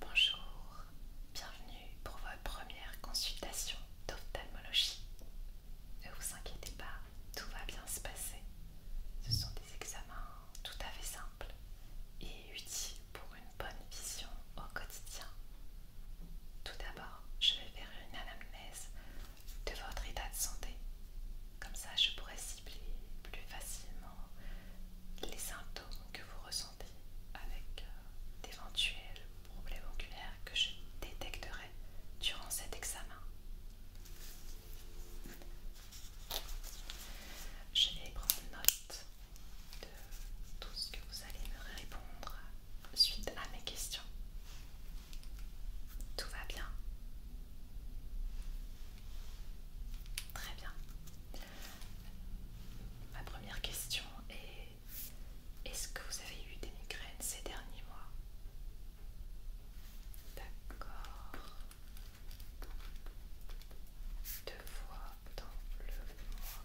Bonjour, bienvenue pour votre première consultation d'ophtalmologie. Ne vous inquiétez pas, tout va bien se passer. Ce sont des examens tout à fait simples et utiles pour une bonne vision au quotidien. Tout d'abord, je vais faire une anamnèse de votre état de santé. Comme ça, je pourrais cibler plus facilement les symptômes que vous ressentez avec euh, d'éventuels problèmes oculaires que je détecterai durant cet examen. Je vais prendre note de tout ce que vous allez me répondre suite à mes questions. Tout va bien Très bien. Ma première question est Est-ce que vous avez eu des migraines ces derniers mois D'accord. Deux fois dans le mois.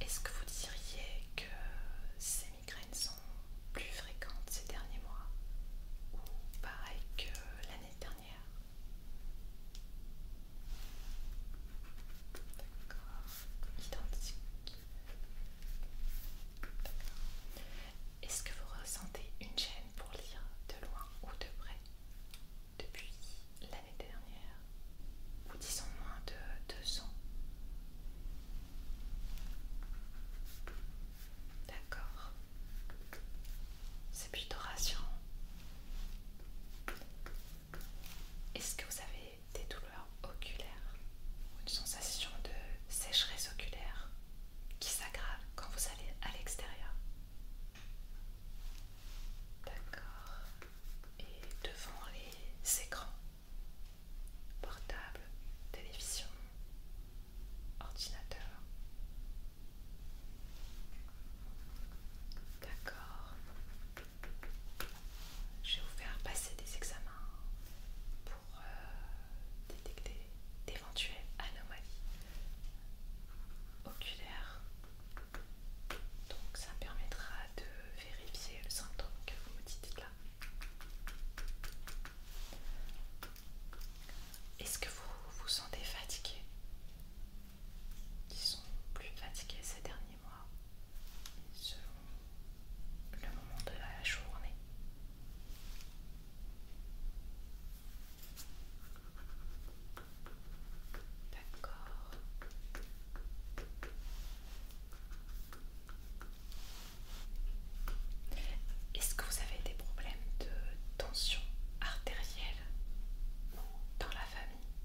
Est-ce que vous diriez que ces migraines sont plus fréquentes ces derniers mois ou pareil que l'année dernière D'accord, identique. Est-ce que vous ressentez une gêne pour lire de loin ou de près depuis l'année dernière ou disons moins de 200. D'accord. C'est plutôt rassurant. Est-ce que vous avez des douleurs oculaires une sensation de sécheresse oculaire qui s'aggrave quand vous allez à l'extérieur D'accord. Et devant les écrans portable, télévision, ordinateur. D'accord. Je vais vous faire passer des examens pour euh, détecter d'éventuelles anomalies oculaires. Donc ça permettra de vérifier le symptôme que vous me dites là. Est-ce que vous vous sentez fatigué Qui sont plus fatigués ces derniers mois, selon le moment de la journée. D'accord. Est-ce que vous avez des problèmes de tension artérielle dans la famille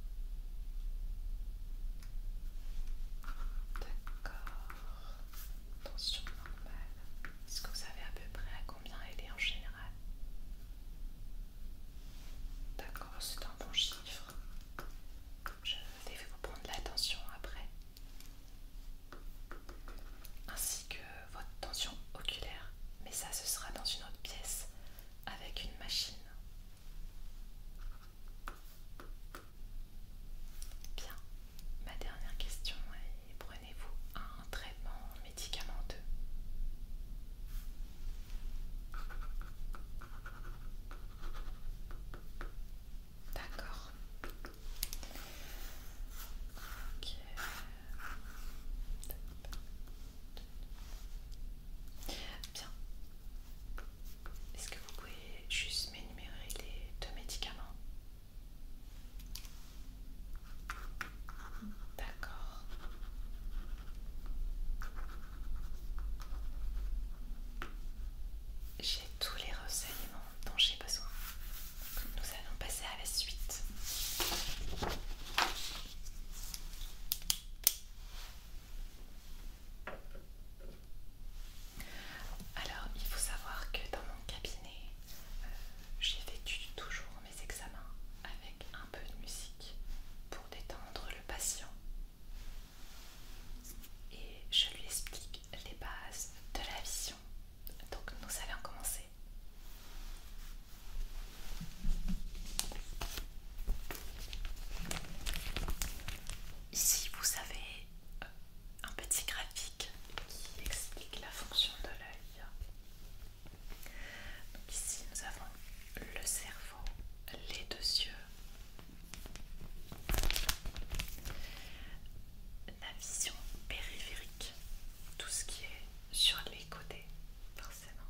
D'accord. Tension normale. Est-ce que vous savez à peu près à combien elle est en général D'accord, c'est un bon chiffre. Je vais vous prendre la tension après, ainsi que votre tension oculaire, mais ça ce sera dans une autre pièce avec une machine. Bien, ma dernière question est prenez-vous un traitement médicamenteux D'accord. Bien. Est-ce que vous pouvez juste m'énumérer les deux médicaments D'accord. J'ai tous les renseignements dont j'ai besoin. Nous allons passer à la suite. Alors, il faut savoir que dans mon cabinet, euh, J'ai j'effectue toujours mes examens avec un peu de musique pour détendre le patient et je lui explique les bases de la vision. Donc nous allons commencer. Ici vous avez euh, un petit graphique qui explique la fonction de l'œil. ici nous avons le cerveau, les deux yeux, la vision périphérique, tout ce qui est sur les côtés, forcément.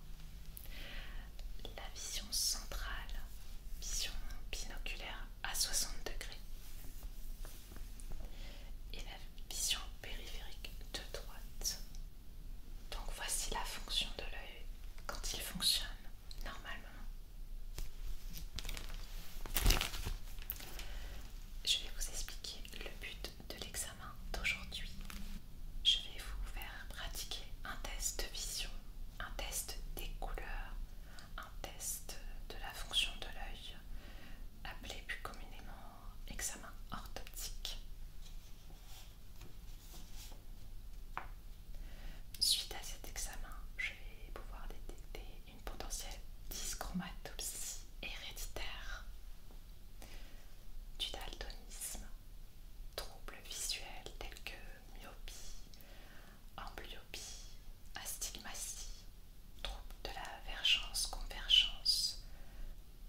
La vision centrale, vision binoculaire à 60 degrés. Et la vision périphérique de droite. Donc voici la fonction de l'œil quand il fonctionne normalement. Je vais vous expliquer le but de l'examen d'aujourd'hui. Je vais vous faire pratiquer un test de vision, un test des couleurs, un test de la fonction de l'œil, appelé plus communément examen orthoptique. Suite à cet examen, je vais pouvoir détecter une potentielle dyschromatopsie héréditaire du daltonisme, troubles visuels tels que myopie, amblyopie, astigmatie, troubles de la vergence-convergence,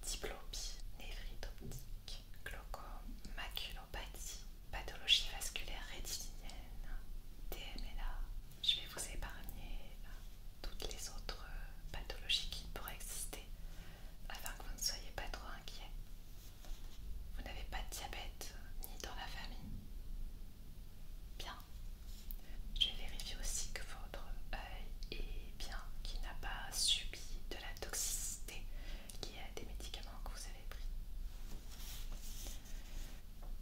diplopie, névrite optique, glaucome, maculopathie, pathologie vasculaire rétinienne, TMLA. Je vais vous épargner toutes les autres euh, pathologies qui pourraient exister afin que vous ne soyez pas trop inquiet Vous n'avez pas de diabète euh, ni dans la famille. Bien. Je vais vérifier aussi que votre œil est bien, qu'il n'a pas subi de la toxicité liée à des médicaments que vous avez pris.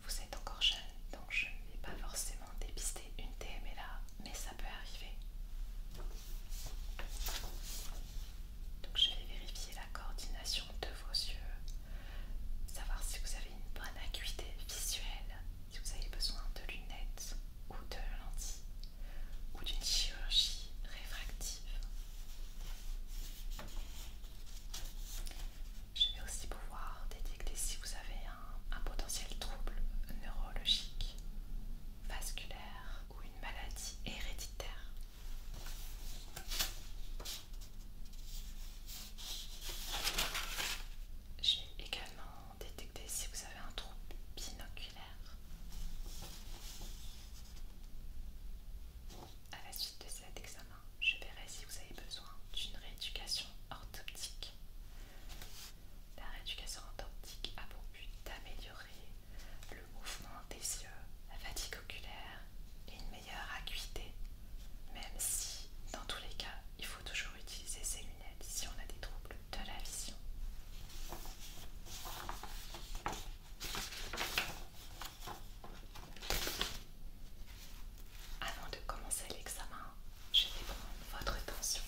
Vous êtes encore jeune, donc je ne vais pas forcément dépister une TMLA, mais ça peut arriver. Donc je vais vérifier la coordination de vos yeux, savoir si vous avez une bonne acuité visuelle, si vous avez besoin de lunettes ou de lentilles ou d'une chirurgie réfractive. Je vais aussi pouvoir détecter si vous avez un, potentiel trouble neurologique, vasculaire ou une maladie héréditaire. Je vais également détecter si vous avez un trouble binoculaire. À la suite de cet examen, je verrai si vous avez besoin d'une rééducation orthoptique. La rééducation orthoptique a pour but d'améliorer le mouvement des yeux, la fatigue oculaire et une meilleure acuité, même si dans tous les cas il faut toujours utiliser ses lunettes si on a des troubles de la vision. Avant de commencer l'examen, je vais prendre votre attention.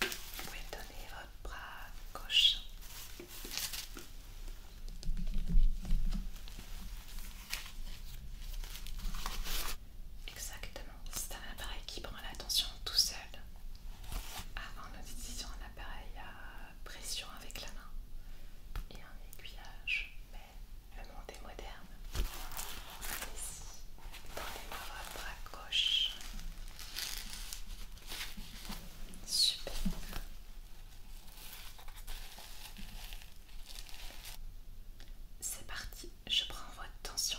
Vous pouvez donner votre bras gauche. Exactement, c'est un appareil qui prend la tension tout seul. Avant, nous utilisions un appareil à pression avec la main et un aiguillage, mais le monde est moderne. Ici, dans les bras gauche. Super. C'est parti, je prends votre tension.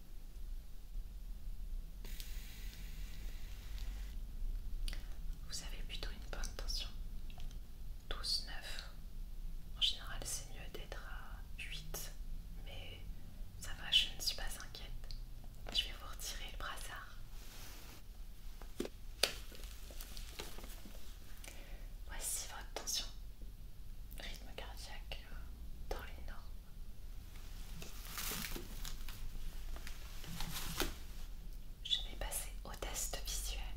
Vous avez plutôt une bonne tension. 12, 9. En général, c'est mieux d'être à 8, mais ça va, je ne suis pas inquiète. Je vais vous retirer le brassard. Voici votre tension. Rythme cardiaque dans les normes. Je vais passer au test visuel.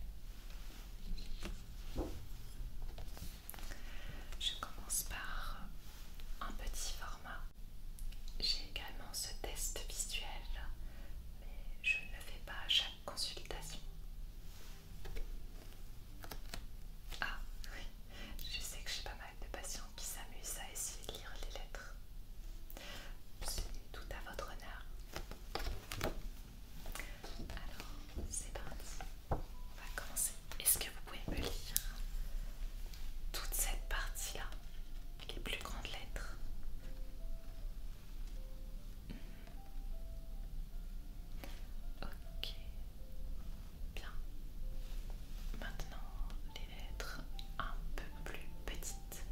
Je commence par un petit format. J'ai également ce test visuel, mais je ne le fais pas à chaque consultation. Ah oui, je sais que j'ai pas mal de patients qui s'amusent à essayer de lire les lettres. C'est tout à votre honneur. Alors, c'est parti. On va commencer. Est-ce que vous pouvez me lire toute cette partie-là Les plus grandes lettres Ok. Bien. Maintenant, être un peu plus petite.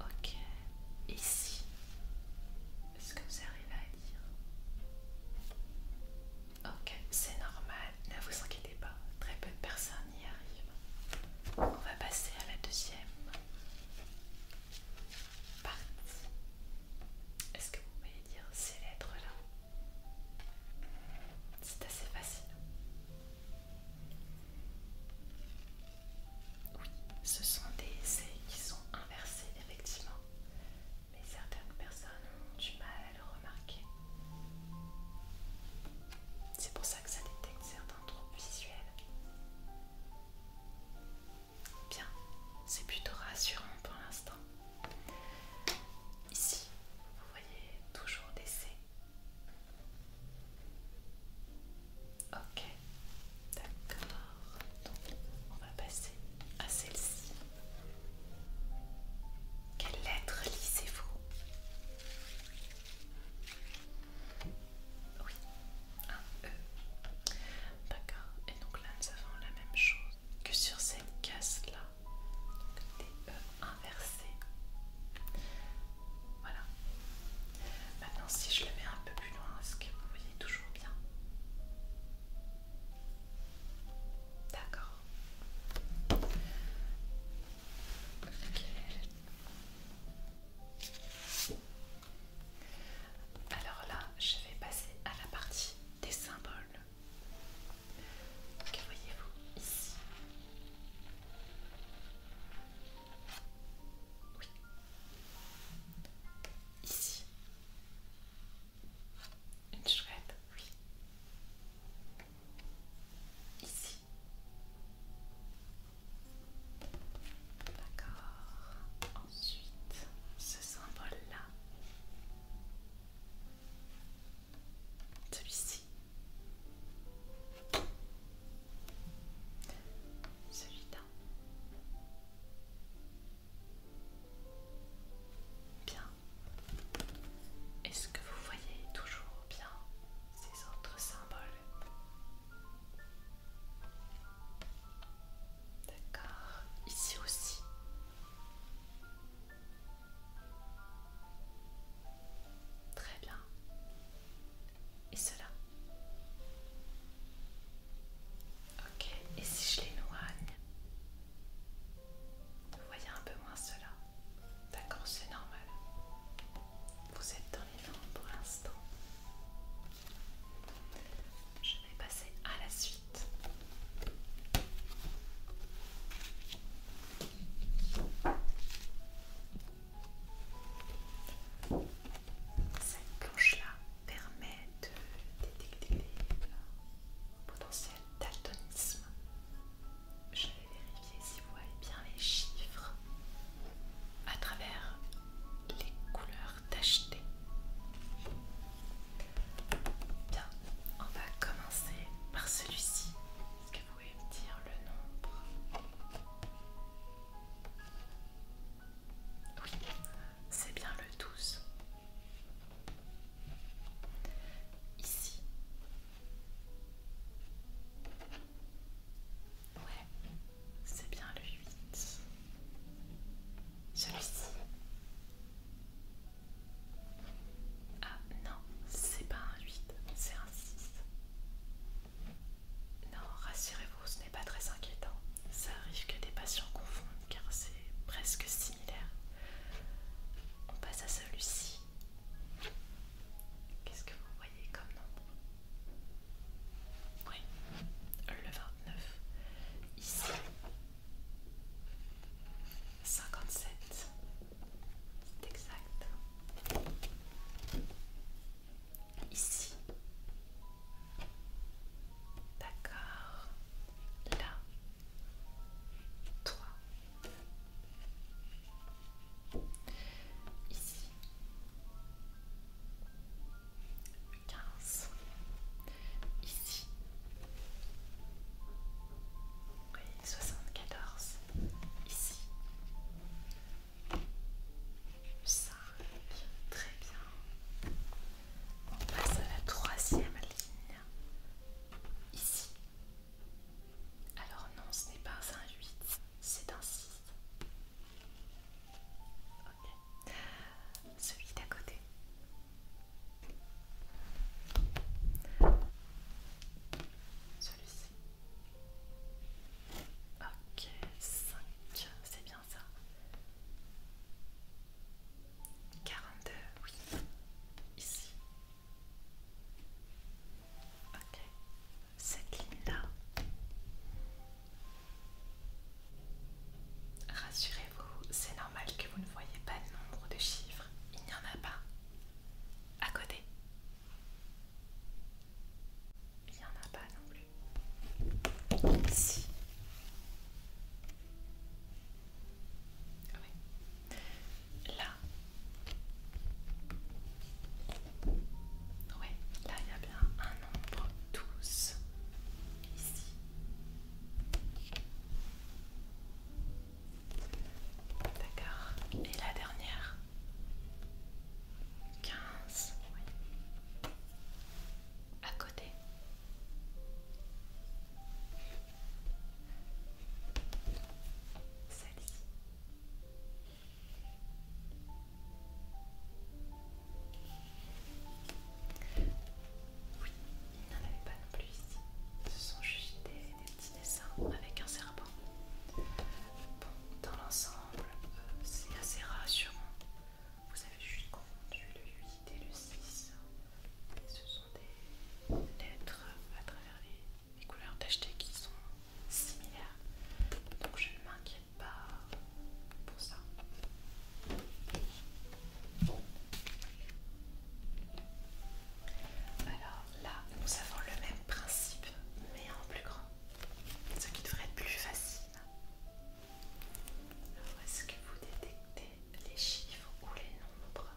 Ok, ici, est-ce que vous arrivez à lire Ok, c'est normal, ne vous inquiétez pas, très peu de personnes on arrive. On va passer à la deuxième partie. Est-ce que vous pouvez dire ces lettres-là C'est assez facile. Oui, ce sont des essais qui sont inversés, effectivement. Mais certaines personnes ont du mal à le remarquer. C'est pour ça que ça détecte certains visuel Bien, c'est plutôt rassurant pour l'instant. Ici, vous voyez toujours des C. Ok, d'accord. Donc, on va passer à celle-ci. Quelle lettre lisez-vous oui, un E. D'accord, et donc là nous avons la même chose que sur cette case là. Donc des E inversés. Voilà. Maintenant, si je le mets un peu plus loin, est-ce que vous voyez toujours bien D'accord. Alors là, je vais passer à la partie des symboles. Que voyez-vous ici Oui. Ici. Une chouette, oui. Ici. D'accord. Ensuite, ce symbole-là. Celui-ci. Celui-là. Bien. Est-ce que vous voyez toujours bien ces autres symboles D'accord, ici aussi. Très bien. Et cela Ok, et si je l'éloigne Vous voyez un peu moins cela D'accord, c'est normal. Vous êtes dans les ventes pour l'instant. Je vais passer à la suite. Cette planche-là permet de détecter le potentiel d'altonisme. Je vais si vous voyez bien les chiffres à travers les couleurs d'acheter Bien, on va commencer par celui-ci. Est-ce que vous pouvez me dire le nombre Oui, c'est bien le 12. Ici. Ouais, c'est bien le 8. Celui-ci. Ah non, c'est pas un 8, c'est un 6. Non, rassurez-vous, ce n'est pas très inquiétant. Ça arrive que des patients confondent car c'est presque similaire. On passe à celui-ci. Qu'est-ce que vous voyez comme nombre oui, euh, le 29. Ici, 57. C'est exact. Ici. D'accord. Là. Toi. Ici. 15. Ici. Oui, 74. Ici. ça Très bien. On passe à la troisième ligne. Ici. Alors non, ce n'est pas 18 8 c'est un 6. ok, Celui d'à côté. Celui-ci. Ok, 5, c'est bien ça. 42, oui. Ici. Ok cette ligne-là. Rassurez-vous, c'est normal que vous ne voyez pas de nombre de chiffres. Il n'y en a pas. À côté. Il n'y en a pas non plus. Ici. Là. Oui, là il y a bien un nombre 12 ici. D'accord. Et la dernière 15, À côté. Celle-ci. Oui, il n'en avait pas non plus ici. Ce sont juste des, petits dessins avec un serpent. Bon, dans l'ensemble, euh, c'est assez rassurant. Vous avez juste confondu le 8 et le 6. ce sont des lettres à travers les, couleurs tachetées qui sont similaires. Donc je ne m'inquiète pas pour ça. Alors là, nous avons le même principe, mais en plus grand, ce qui devrait être plus facile. Alors, est-ce que vous détectez les chiffres ou les nombres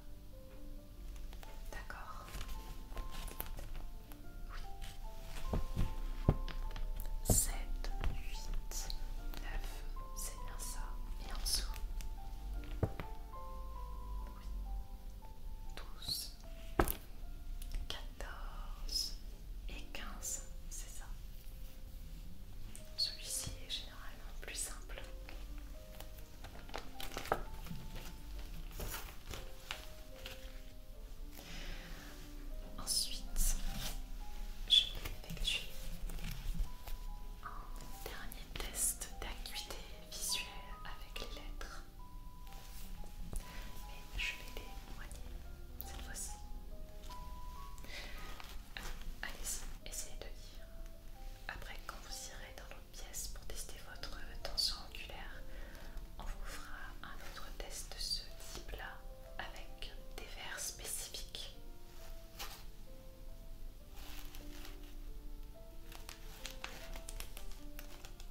D'accord 7, 8, 9, c'est bien ça, et en dessous. 12, 14 et 15, c'est ça. Celui-ci est généralement plus simple. Ensuite, je vais effectuer un dernier test d'acuité visuelle avec les lettres. et je vais les moigner cette fois-ci. Euh, allez-y, essayez de lire. Après, quand vous irez dans l'autre pièce pour tester votre tension on vous fera un autre test de ce type-là avec des verres spécifiques.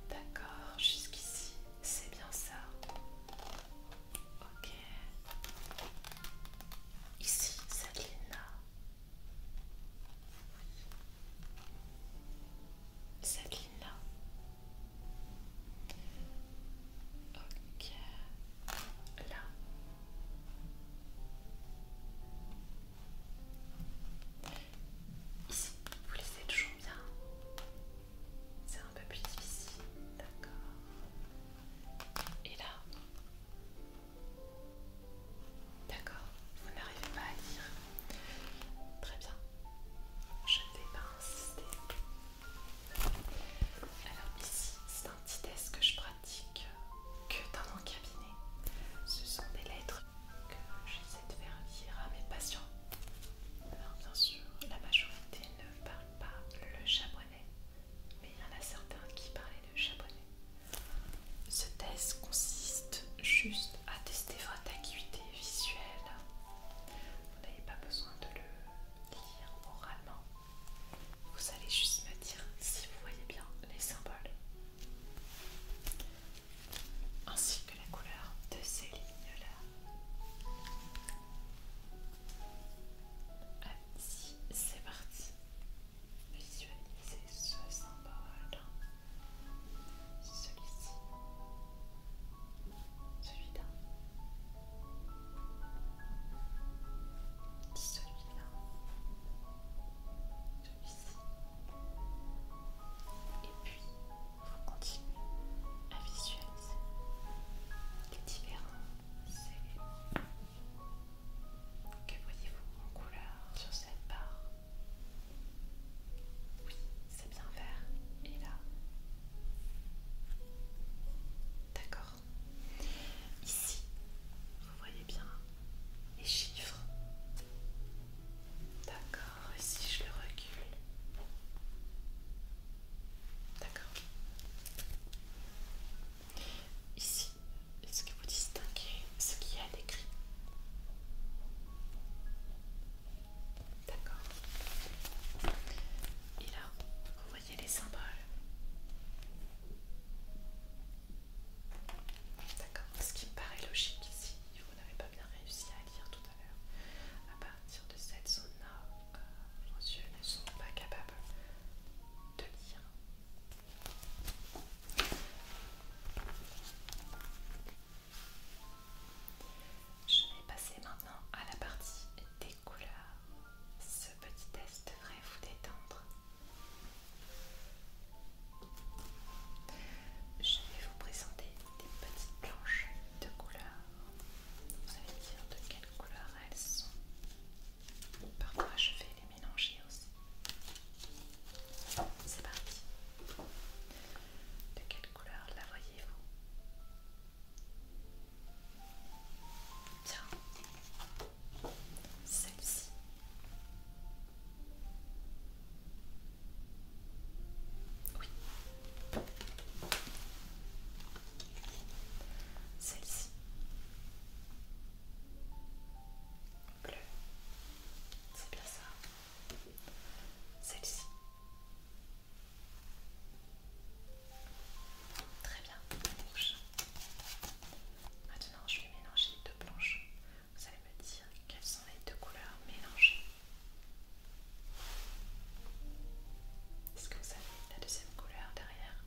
D'accord, jusqu'ici, c'est bien ça. Ok. Ici, cette ligne cette ligne-là. Ok, là. Ici, vous laissez toujours bien. C'est un peu plus difficile, d'accord. Et là. D'accord, vous n'arrivez pas à lire. Très bien. Je ne vais pas insister. Alors ici, c'est un petit test que je pratique que dans mon cabinet. Ce sont des lettres que j'essaie de faire lire à mes patients. Alors bien sûr, la majorité ne parle pas le japonais, mais il y en a certains qui parlaient le japonais. Ce test consiste juste à tester votre acuité visuelle vous n'avez pas besoin de le lire oralement. Vous allez juste me dire si vous voyez bien les symboles ainsi que la couleur de ces lignes-là. Ainsi, c'est parti. Visualisez ce symbole, celui-ci, celui-là, celui-là, celui-ci, et puis vous continuez à visualiser les différents éléments. Que voyez-vous en couleur sur cette barre Oui, c'est bien vert. Et là, d'accord. Ici, vous voyez bien les chiffres. D'accord, Ici, si je le recule D'accord. Ici, est-ce que vous distinguez ce qu'il y a d'écrit D'accord. Et là, vous voyez les symboles. D'accord. Ce qui me paraît logique ici, vous n'avez pas bien réussi à lire tout à l'heure. À partir de cette zone-là, euh, yeux ne sont pas capables de lire. Je vais passer maintenant à la partie des couleurs. Ce petit test devrait vous détendre. Je vais vous présenter des petites planches de couleurs. Vous allez me dire de quelle couleur elles sont. Parfois je vais les mélanger aussi. C'est parti. De quelle couleur la voyez-vous Tiens Celle-ci. Oui. Celle-ci. Bleu. C'est bien ça. Celle-ci. Très bien, rouge. Maintenant, je vais mélanger les deux planches. Vous allez me dire quelles sont les deux couleurs mélangées. Est-ce que vous avez la deuxième couleur derrière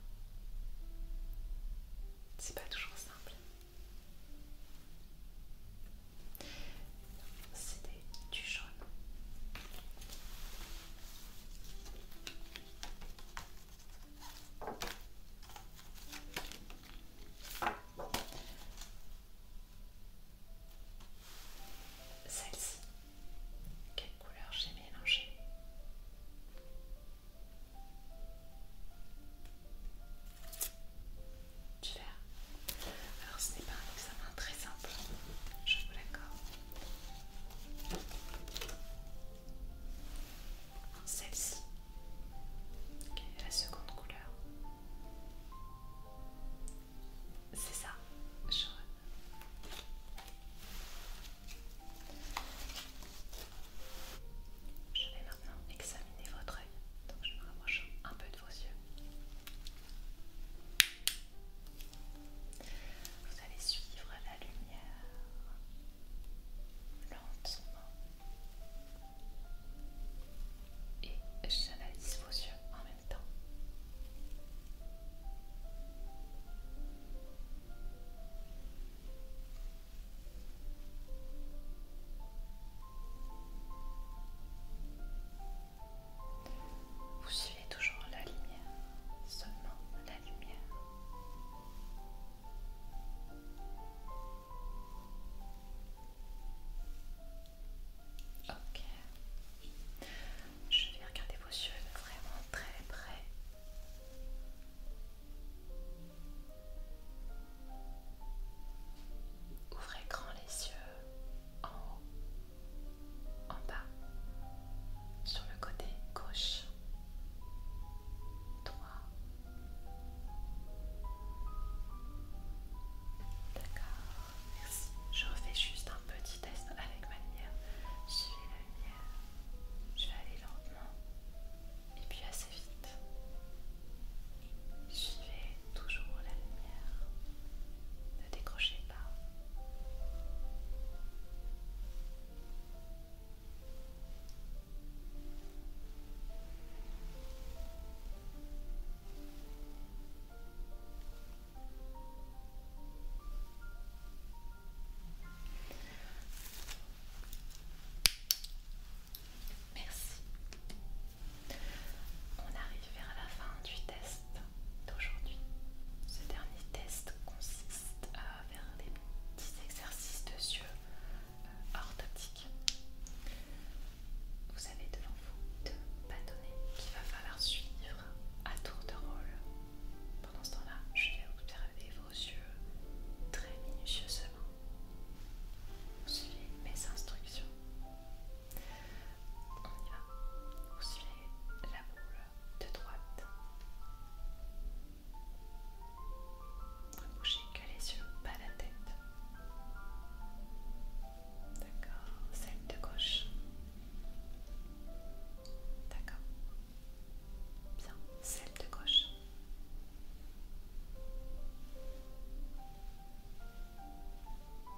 C'est pas toujours simple c'était du jaune. Celle-ci, quelle couleur j'ai mélangée Du vert. Alors ce n'est pas un examen très simple, je vous l'accorde. Celle-ci, qui est la seconde couleur. C'est ça, jaune. Je vais maintenant examiner votre œil. Donc je me rapproche un peu de vos yeux. Vous allez suivre la lumière lentement et j'analyse vos yeux en même temps. Vous suivez toujours la lumière, seulement la lumière. Ok. Je vais regarder vos yeux vraiment très près. Ouvrez grand les yeux en haut en bas, sur le côté gauche, droit. D'accord, merci. Je refais juste un petit test avec ma lumière. Suivez la lumière. Je vais aller lentement et puis assez vite. vais toujours la lumière. de décrocher. Merci. On arrive vers la fin du test d'aujourd'hui. Ce dernier test consiste à faire des petits exercices de yeux tactique. Euh, vous avez devant vous deux bâtonnets qu'il va falloir suivre à tour de rôle. Pendant ce temps-là, je vais observer vos yeux très minutieusement. Vous suivez mes instructions. On y va. Vous suivez la boule de droite. Ne bougez que les yeux, pas la tête. D'accord, celle de gauche. D'accord. Bien, celle de gauche.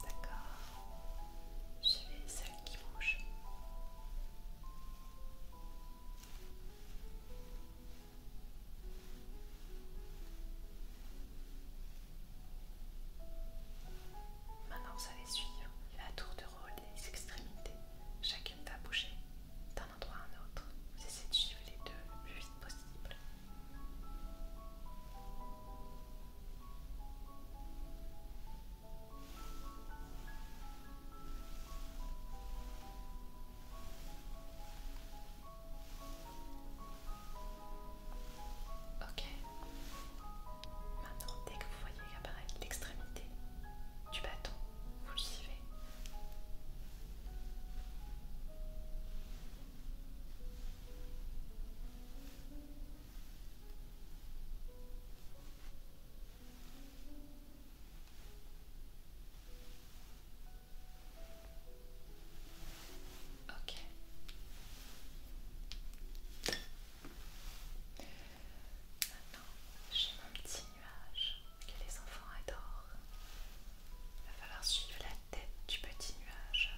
D'accord. Je celle qui bouge. Maintenant, vous allez suivre la tour de rôle des extrémités. Chacune va bouger d'un endroit à un autre. Vous essayez de suivre les deux le plus vite possible. Ok. Maintenant, dès que vous voyez apparaître l'extrémité du bâton, vous le suivez. Ok. Maintenant, j'ai mon petit nuage que les enfants adorent. Il va falloir suivre la tête du petit nuage.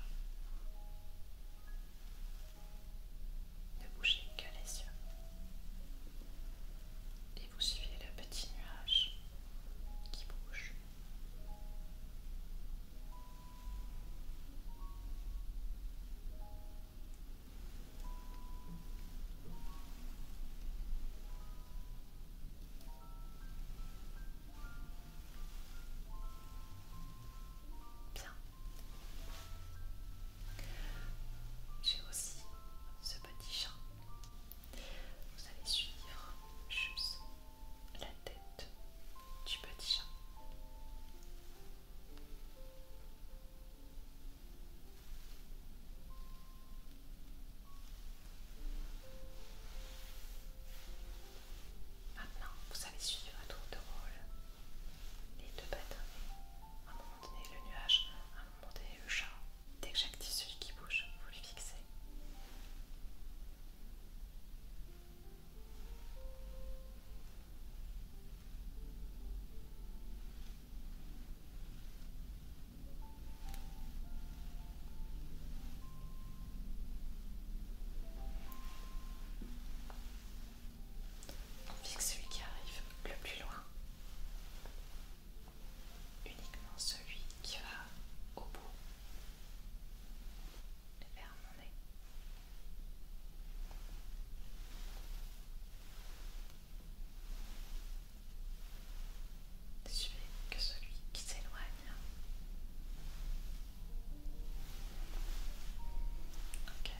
Ne bougez que les yeux et vous suivez le petit nuage qui bouge. Bien. J'ai aussi ce petit chat. Vous allez suivre juste la tête du petit chat. Maintenant, vous allez suivre un tour de rôle les deux pattes, À un moment donné, le nuage, à un moment donné, le chat. Dès que j'active celui qui bouge, vous le fixez. On fixe celui qui arrive le plus loin. Uniquement celui qui va au bout vers mon nez. que celui qui s'éloigne. Ok.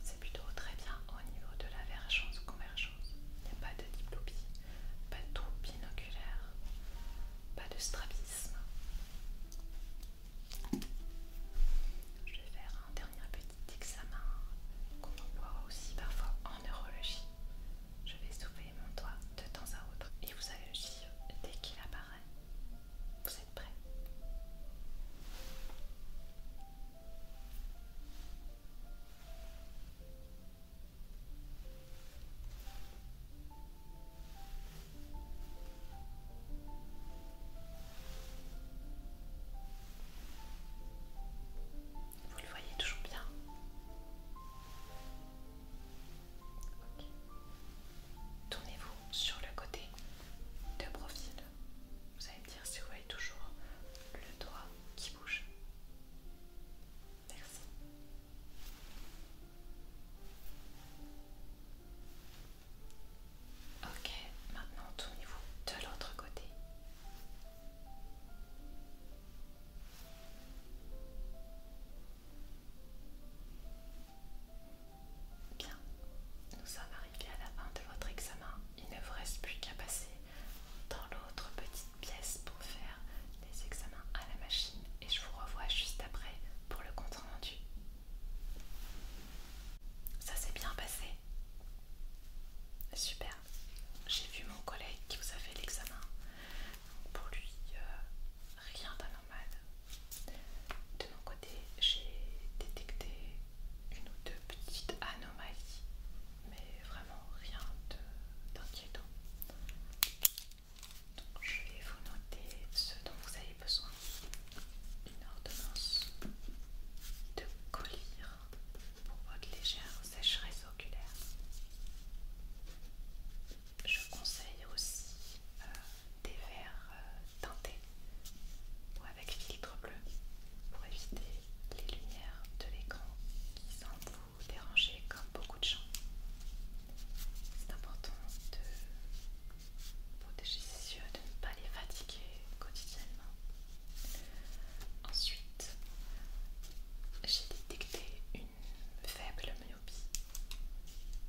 C'est plutôt très bien au niveau de la vergence convergence. Il n'y a pas de diplopie, pas de trouble binoculaire, pas de strabisme. Je vais faire un dernier petit examen qu'on emploie aussi parfois en neurologie. Je vais soulever mon doigt de temps à autre et vous allez le dès qu'il apparaît. Vous êtes prêts Vous le voyez toujours bien Tournez-vous sur le côté de profil. Vous allez me dire si vous voyez toujours le doigt qui bouge. Merci. Ok, maintenant tournez-vous de l'autre côté. Bien, nous sommes arrivés à la fin de votre examen. Il ne vous reste plus qu'à passer dans l'autre petite pièce pour faire les examens à la machine et je vous revois juste après pour le compte rendu. Ça s'est bien passé Super. J'ai vu mon collègue qui vous a fait l'examen. Pour lui, euh, rien d'anormal. De mon côté, j'ai détecté une ou deux petites anomalies, mais vraiment rien d'inquiétant. je vais vous noter ce dont vous avez besoin. Une ordonnance de collyre pour votre légère sécheresse oculaire. Je conseille aussi euh, des verres euh, Tentez, ou avec filtre bleu pour éviter les lumières de l'écran qui semblent vous déranger comme beaucoup de gens. C'est important de protéger ses yeux, de ne pas les fatiguer quotidiennement. Ensuite, j'ai détecté une faible myopie,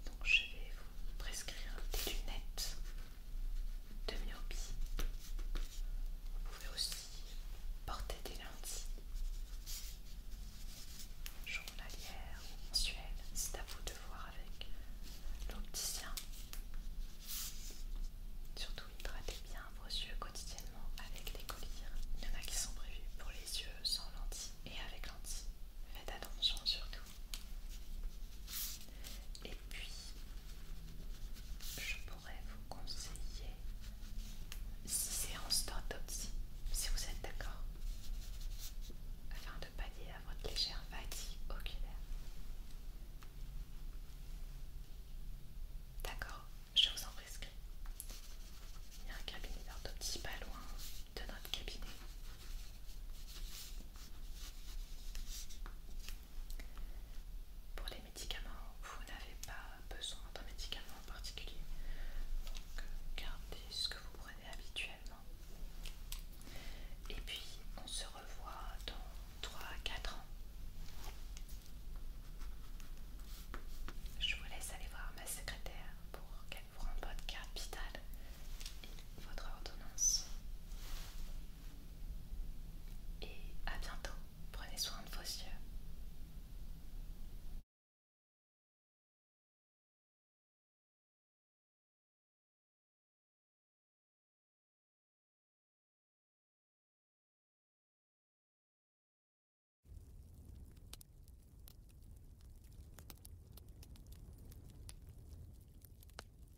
donc je vais vous prescrire des lunettes de myopie. Vous pouvez aussi porter des lentilles journalières ou mensuelles. C'est à vous de voir avec l'opticien. Surtout, hydratez bien vos yeux quotidiennement avec des colliers. Il y en a qui sont prévus pour les yeux sans lentilles et avec lentilles. Faites attention surtout et puis, je pourrais vous conseiller 6 séances d'autopsie, si vous êtes d'accord, afin de pallier à votre légère fatigue oculaire. D'accord, je vous en prescris. Il y a un cabinet d'orthopsie pas loin de notre cabinet. Pour les médicaments, vous n'avez pas besoin d'un médicament en particulier, donc euh, gardez ce que vous prenez habituellement. Et puis on se revoit dans 3 à 4 ans. Je vous laisse aller voir ma secrétaire pour qu'elle vous rende votre carte vitale et votre ordonnance. Et à bientôt. Prenez soin de vos yeux.